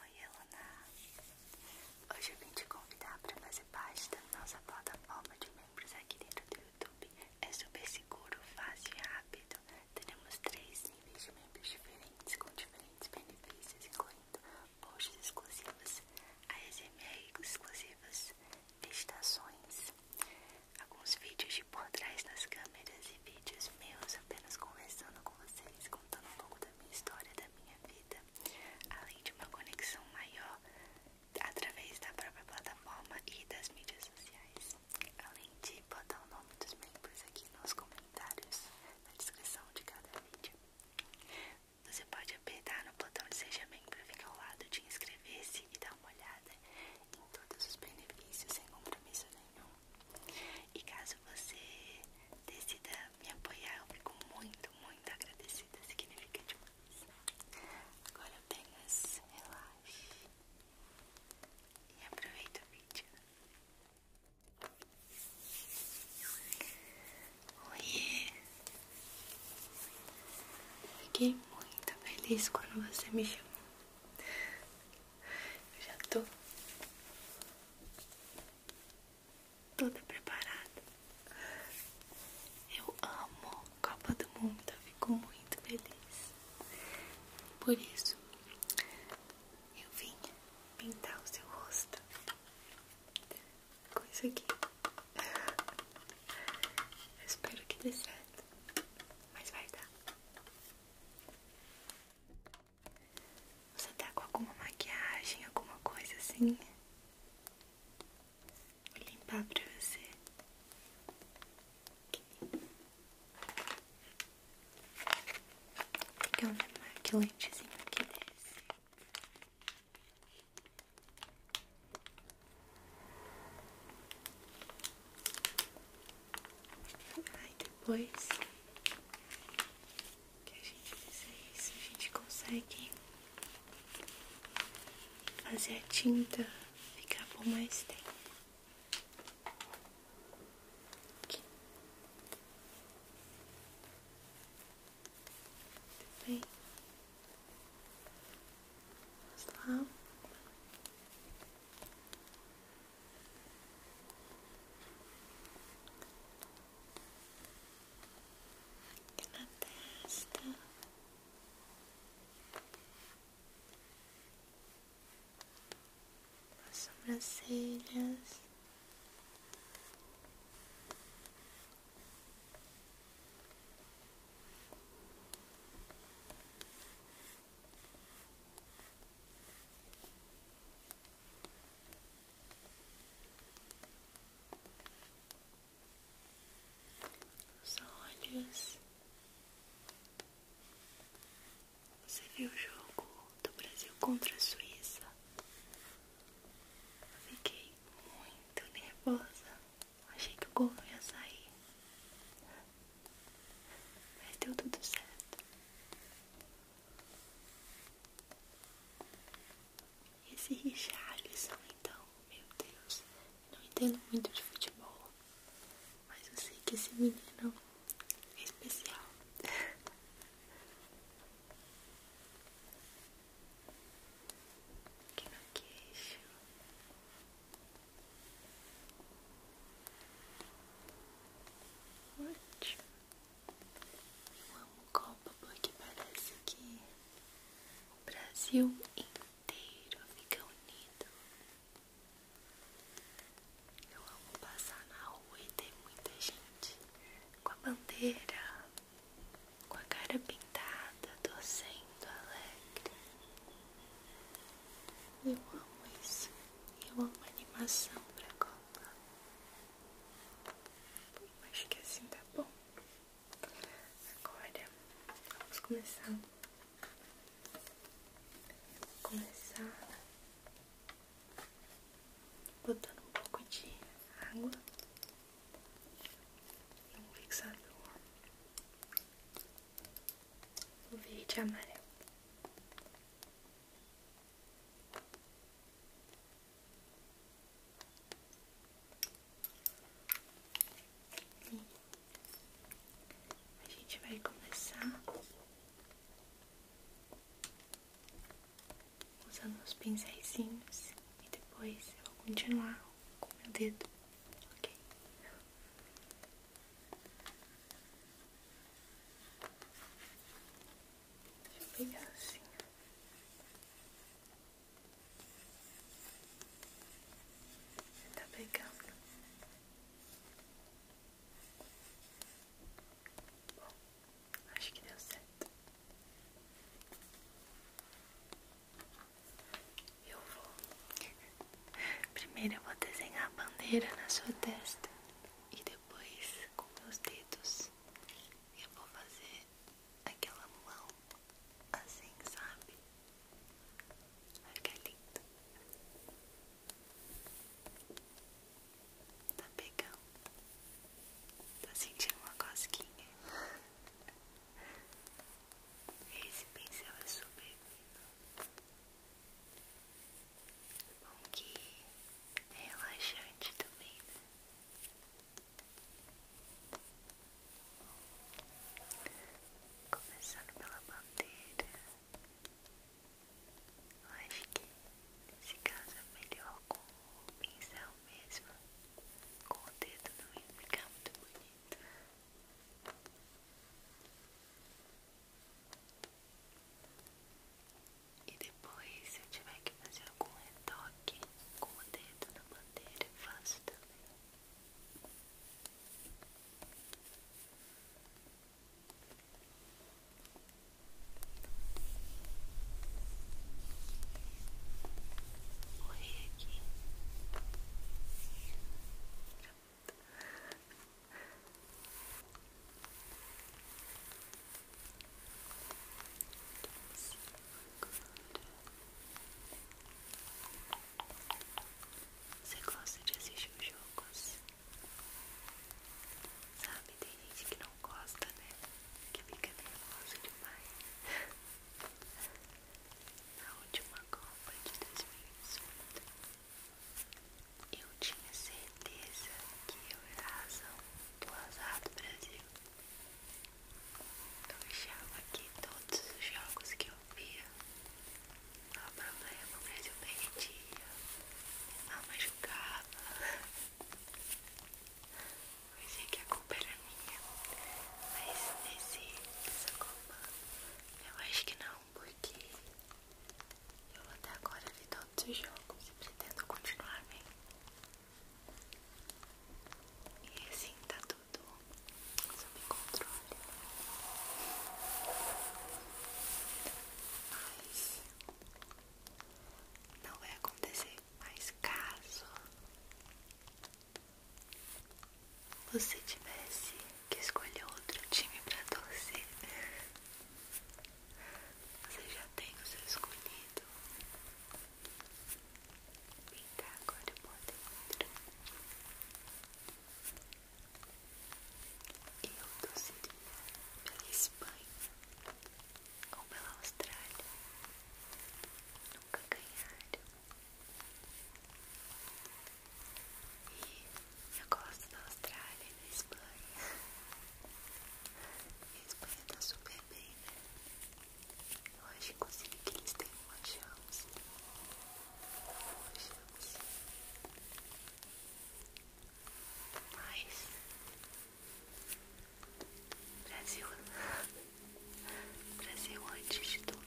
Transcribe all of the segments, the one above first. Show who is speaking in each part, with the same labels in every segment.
Speaker 1: Oi, Eluna! Hoje eu vim te convidar para fazer parte da nossa plataforma de membros aqui dentro do YouTube. É super seguro, fácil e rápido. Teremos três níveis de membros diferentes com diferentes benefícios, incluindo posts exclusivos, ASMR exclusivas, visitações, alguns vídeos de por trás nas câmeras vídeos meus apenas conversando com vocês, contando um pouco da minha história, da minha vida, além de uma conexão maior através da própria plataforma e das mídias sociais. Além de botar o nome dos membros aqui nos comentários, na descrição de cada vídeo. Você pode apertar no botão de Seja Membro, fica ao lado de inscrever-se e dar uma olhada em todos os benefícios sem compromisso nenhum. E caso você decida me apoiar, eu fico muito, muito agradecida. Significa demais. Agora apenas relaxe e aproveita o vídeo. Oi! Fiquei muito feliz quando você me chamou. Eu já tô toda preparada. Eu amo Copa do Mundo, eu fico muito feliz. Por isso, eu vim pintar o seu rosto com isso aqui. espero que dê certo, mas vai dar. Você tá com alguma maquiagem, alguma coisa assim? Vou limpar pra você. Que Pegar um maquilentezinho que é esse. Aí depois que a gente fizer isso, a gente consegue fazer a tinta ficar por mais tempo. Aqui. Muito bem. Vamos lá. Aqui na As sobrancelhas. Os olhos. Você viu o jogo do Brasil contra a Suíça? fiquei muito nervosa. Achei que o gol ia sair. Mas deu tudo certo. Esse Richarlison, então, meu Deus, não entendo muito de futebol, mas eu sei que esse menino é especial. Aqui no queixo. Ótimo. Uma copa porque parece que o Brasil inteiro fica unido. Eu amo passar na rua e ter muita gente com a bandeira, com a cara pintada, torcendo alegre. Eu amo isso. Eu amo animação pra Copa. Acho que assim tá bom. Agora vamos começar. Vou começar botando um pouco de água e um fixador o verde e amarelo. E a gente vai começar usando os pincéis e depois eu vou continuar com meu dedo, ok? Vou pegar assim. Você tá pegando? Bom, acho que deu certo. Eu vou. Primeiro eu vou desenhar a bandeira na sua testa e depois com meus dedos eu vou fazer aquela mão assim, sabe? Olha que lindo. Tá pegando. Tá sentindo uma cosquinha. Esse pincel é super fino. Bom que é relaxante também, né? Começando pela bandeira, acho que se casa é melhor com o pincel mesmo, com o dedo não ia ficar muito bonito. E depois, se eu tiver que fazer algum retoque com o dedo na bandeira, eu faço também. Morri aqui. Você gosta de assistir os jogos? Sabe, tem gente que não gosta, né? Que fica nervosa demais na última Copa de 2018. Eu tinha certeza que eu era a razão do azar do Brasil. Então, eu achava que todos os jogos que eu via, não ah, problema, o Brasil perdia, a mãe jogava. Eu sei que a culpa era minha, mas nesse, nessa Copa eu acho que não, porque eu até agora vi todos os jogos e pretendo continuar bem. E é assim tá tudo sob controle. Mas não vai acontecer mais caso você tivesse que escolher outro time pra torcer, você já tem o seu escolhido. Vem cá, agora eu boto outro. Eu torceria pela Espanha ou pela Austrália nunca ganharam. E eu gosto da Austrália e da Espanha. a Espanha tá super bem, né? Eu acho, inclusive, que eles têm uma chance. Uma Mas. Brasil. Brasil antes de tudo.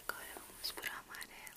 Speaker 1: Agora vamos para o amarelo.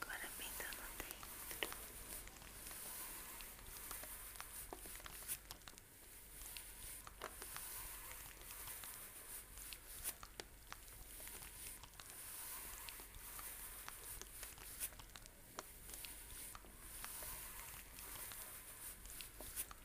Speaker 1: Agora pintando tá dentro. Agora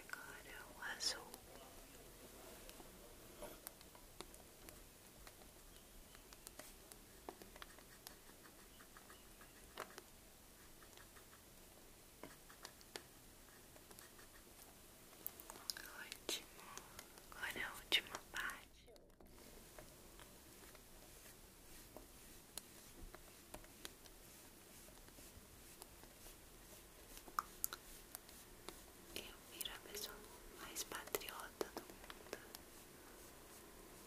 Speaker 1: Agora é o azul. Ótimo. Agora a última parte. Eu viro a pessoa mais patriota do mundo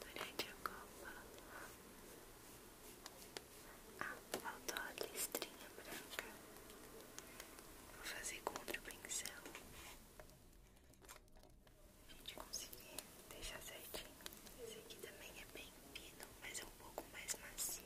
Speaker 1: durante a Copa. Ah, faltou a listrinha branca. Vou fazer com outro pincel. A gente conseguiu deixar certinho. Esse aqui também é bem fino, mas é um pouco mais macio.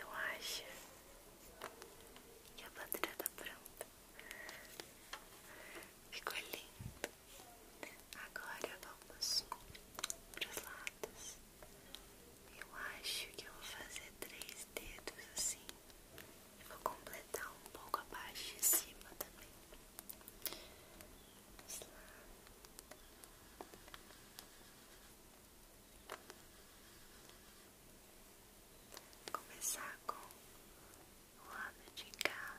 Speaker 1: Eu acho que a bandeira tá pronta. Ficou lindo. Agora vamos os lados. Eu acho que eu vou fazer três dedos assim. e vou completar um pouco abaixo e cima também. Vamos lá. Começar com o lado de cá,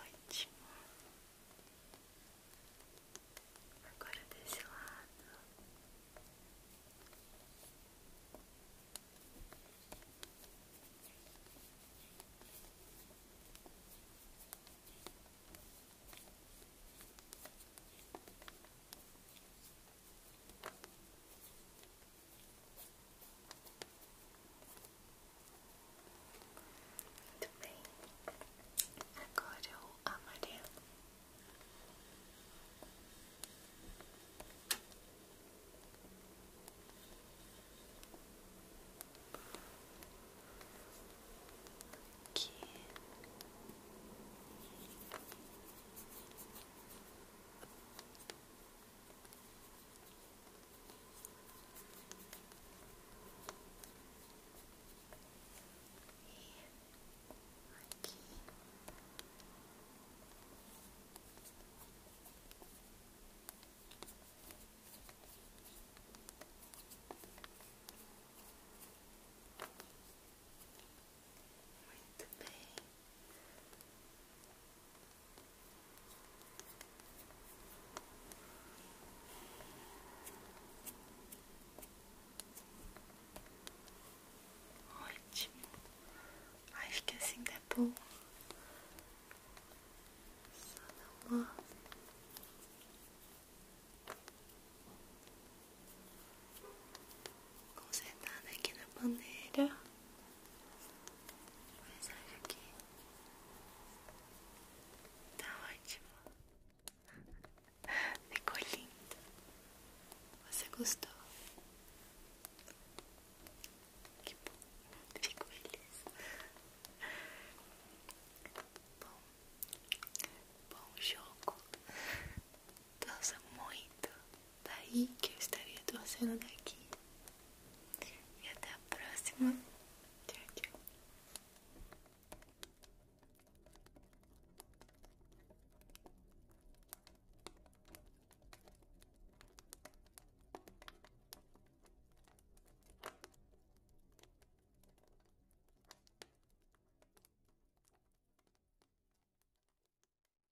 Speaker 1: Ótimo. Agora desse lado. Muito bem, agora eu é o amarelo. Aqui. Aqui. Muito bem. Ótimo. Acho que assim tá bom. Só dá uma consertada aqui na bandeira. Mas olha aqui. Tá ótimo. Ficou lindo. Você gostou? Que bom. Fico feliz. Bom, bom jogo. Dança muito daí que eu estaria torcendo daqui. E até a próxima. Tchau,